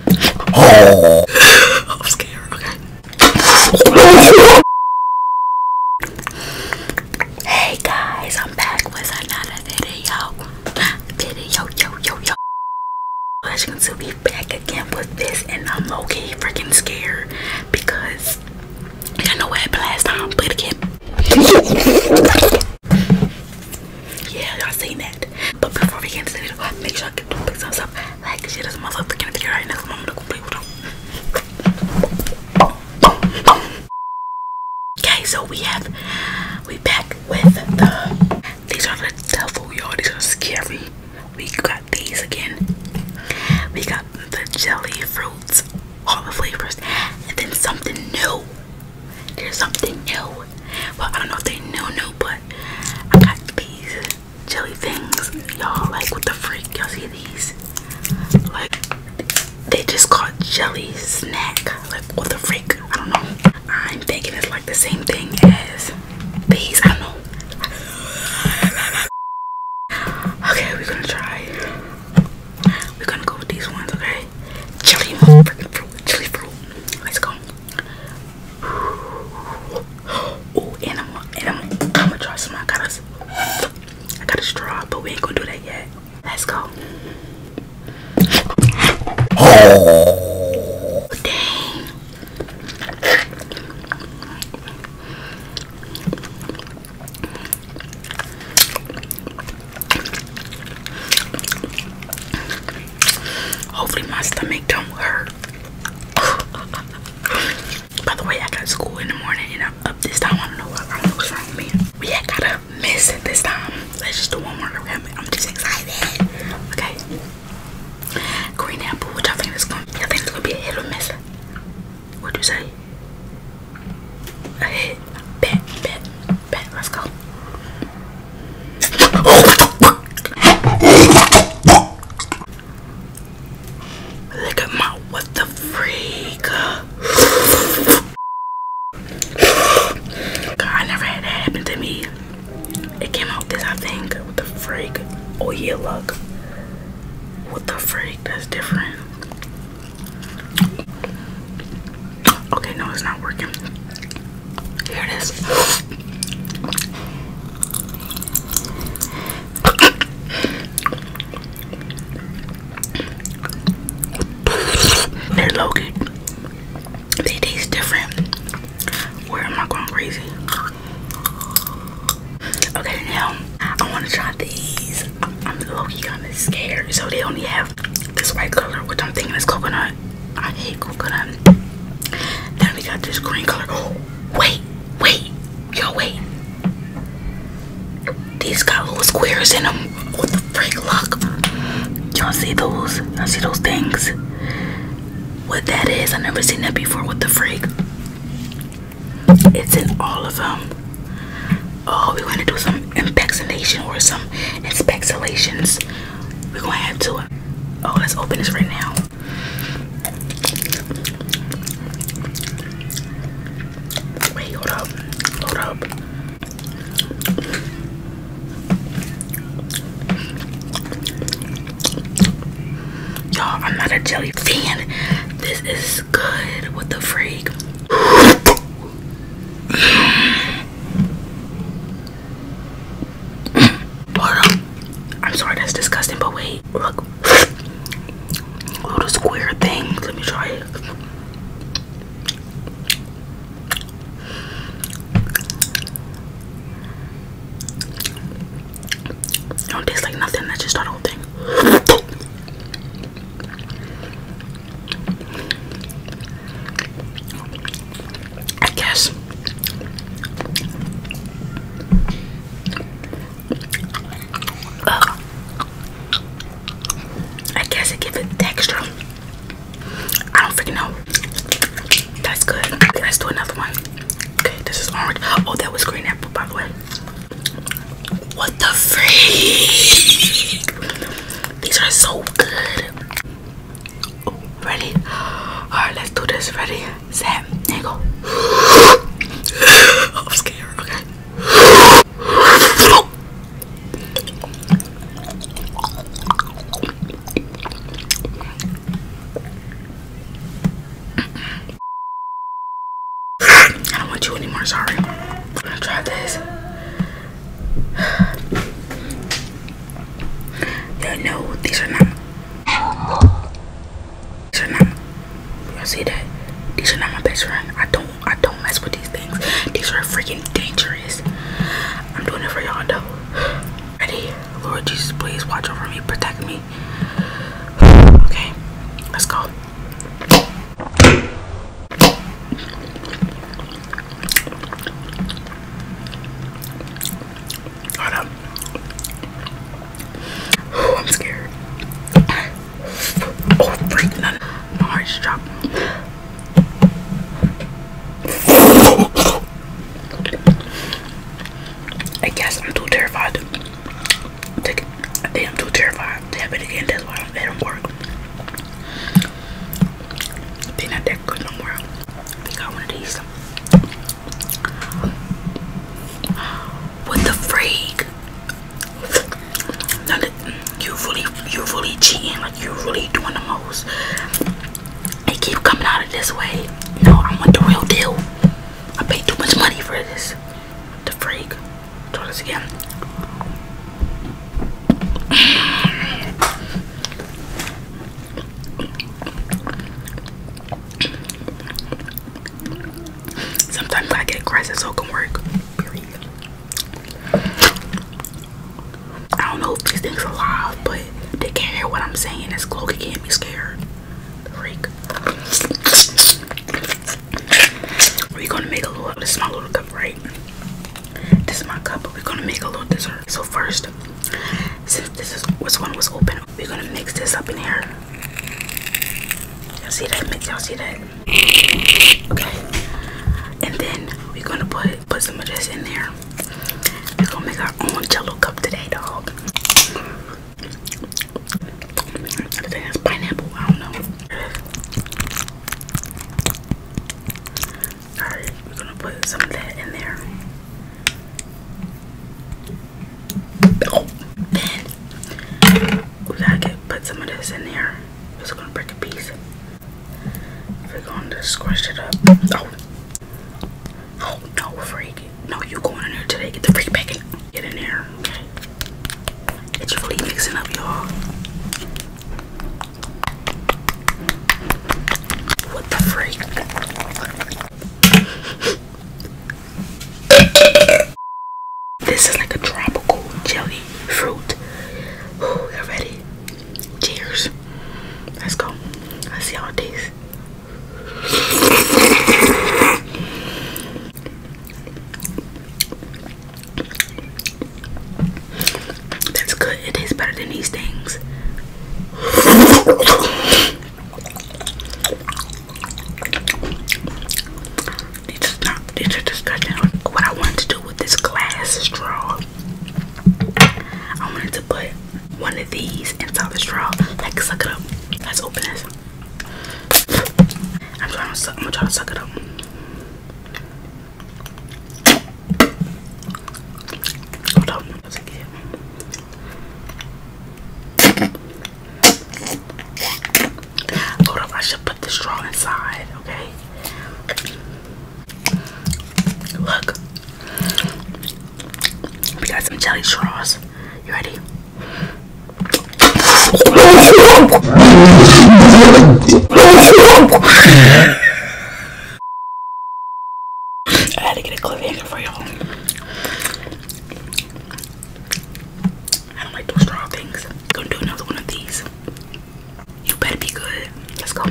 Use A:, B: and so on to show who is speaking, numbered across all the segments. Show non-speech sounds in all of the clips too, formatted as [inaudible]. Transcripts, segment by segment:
A: Oh, I'm scared. hey guys, I'm back with another video. Video, yo, yo, yo. As you can see, we back again with this, and I'm okay freaking scared because I know what happened last time. Play again. Yeah, y'all seen that. But before we get into the video, make sure I get to pick some stuff. Like shit is a motherfucking video right now. I'm gonna go play with them. Okay, so we have we back with the these are the devil, y'all. These are scary. We got these again. We got the jelly fruits, all the flavors, and then something new. There's something new. Well, I don't know if they know new, but I got these jelly things. Y'all like what the freak? Y'all see these? Like they just called jelly snack. Like what the freak? I don't know. I'm thinking it's like the same thing as these. I know. Okay, we're gonna try. We're gonna go with these ones, okay? Jelly freaking fruit, jelly fruit. Let's go. Oh, and I'm, and I'm, I'm gonna try some. I got a, I got a straw, but we ain't gonna do that yet. Let's go. Oh, dang. Hopefully my stomach don't hurt. [laughs] By the way, I got school in the morning and I'm up this time. I don't know what I don't know what's wrong with me. We ain't gotta miss it this time. Let's just do one more. round. I'm just excited. Okay. Green apple, which I think is gonna I think it's gonna be a hit or miss. what do you say? A hit. Let's go. Look at my what the freak. I never had that happen to me. It came out this, I think. What the freak? Oh yeah, look. What the freak? That's different. Okay, no, it's not working. Here it is. They're low They taste different. Where am I going crazy? Okay, now I want to try these. I'm, I'm scared, so they only have this white color, which I'm thinking is coconut. I hate coconut. Then we got this green color. Oh, wait, wait, yo, wait. These got little squares in them. What the freak? Look, y'all see those? you I see those things. What that is? I never seen that before. What the freak? It's in all of them. Oh, we're gonna do some impexilation or some inspectilations. We're gonna have to. Oh, let's open this right now. Wait, hold up, hold up. Y'all, I'm not a jelly fan. This is good. What the freak? I'm sorry, that's disgusting, but wait, look. Little square thing. Let me try it. don't taste like nothing. That's just that whole thing. I guess. I guess it gives it texture. I don't freaking know. That's good. Let's do another one. Okay, this is orange. Oh, that was green apple, by the way. What the freak? These are so good. ready? Alright, let's do this. Ready? Set and go. [gasps] I'm scared, okay. I don't want you anymore, sorry i am gonna try this. [sighs] Yeah, no, these are not. These are not. you see that? These are not my best friend. I don't. I don't mess with these things. These are freaking dangerous. I'm doing it for y'all though. [sighs] Ready? Lord Jesus, please watch over me, protect me. [sighs] Okay, let's go. I'm scared. Oh, freak, My heart's dropped. I guess I'm too terrified. Take I am too terrified to have it again. That's why I don't work. They're not that good no more. I think I want these. What the freak? you really, you really cheating. Like you really doing the most. It keep coming out of this way. No, I want the real deal. I paid too much money for this. The freak. Try this again. Sometimes I get a so can work. I don't know if these things are live, but they can't hear what I'm saying. It's Chloe can't be scared. The freak. We're gonna make a little, this is my little cup, right? This is my cup, but we're gonna make a little dessert. So first, this is which one was open, we're gonna mix this up in here. Y'all see that mix, y'all see that? Okay. And then we're gonna put put some of this in there. We're gonna make our own jello cup today, dog. I think that's pineapple. I don't know. Alright, we're gonna put some of that in there. Oh, then we gotta put some of this in there. just gonna break a piece. We're gonna squish it up. Oh, oh freak no, you going in there today. Get the freak back Get in there. Get your really mixing up, y'all. What the freak? this is like a tropical jelly fruit. Ooh, you ready? Cheers. Let's go. Let's see how it tastes. That's good. It tastes better than these things. These are These are disgusting. What I wanted to do with this glass straw, I wanted to put one of these inside the straw. Like suck it up. Let's open this. I'm trying to suck. I'm gonna suck it up. Hold on. up. I should put the straw inside. Okay. Look, we got some jelly straws. You ready? I had to get a cliffhanger for y'all. I don't like those straw things. Gonna do another one of these. You better be good. Let's go.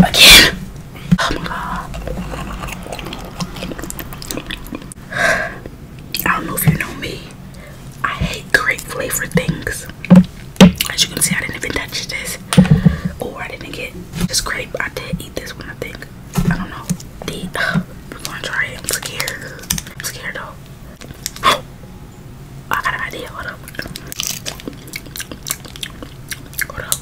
A: Again. Oh my god. I don't know if you know me. I hate grape flavored things. As you can see, I didn't even touch this. Or I didn't get this grape. I did eat this one, I think. I don't know. The, we're [sighs] gonna try it. I'm scared. I'm scared though. I got an idea. Hold up. Hold up.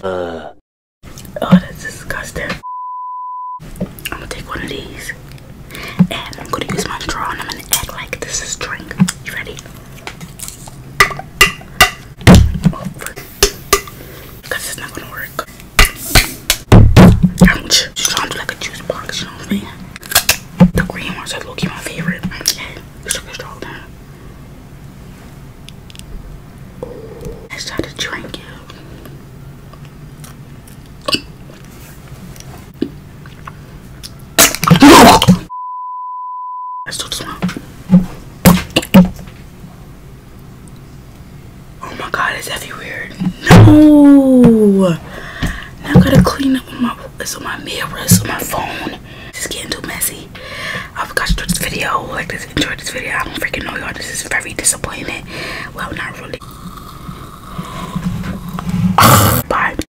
A: Uh. Oh, that's disgusting. I'm gonna take one of these and I'm gonna use my straw and I'm gonna act like this is drink. You ready? over because it's not gonna work. Ouch. She's trying to like a juice box, you know what I mean? The green ones are low-key my favorite. Let's try to drink it. Oh my god, it's weird? No! Now I gotta clean up my it's on my mirror, it's on my phone. It's getting too messy. I forgot to do this video. Like this enjoy this video. I don't freaking know y'all. This is very disappointing. Well not really. Bye.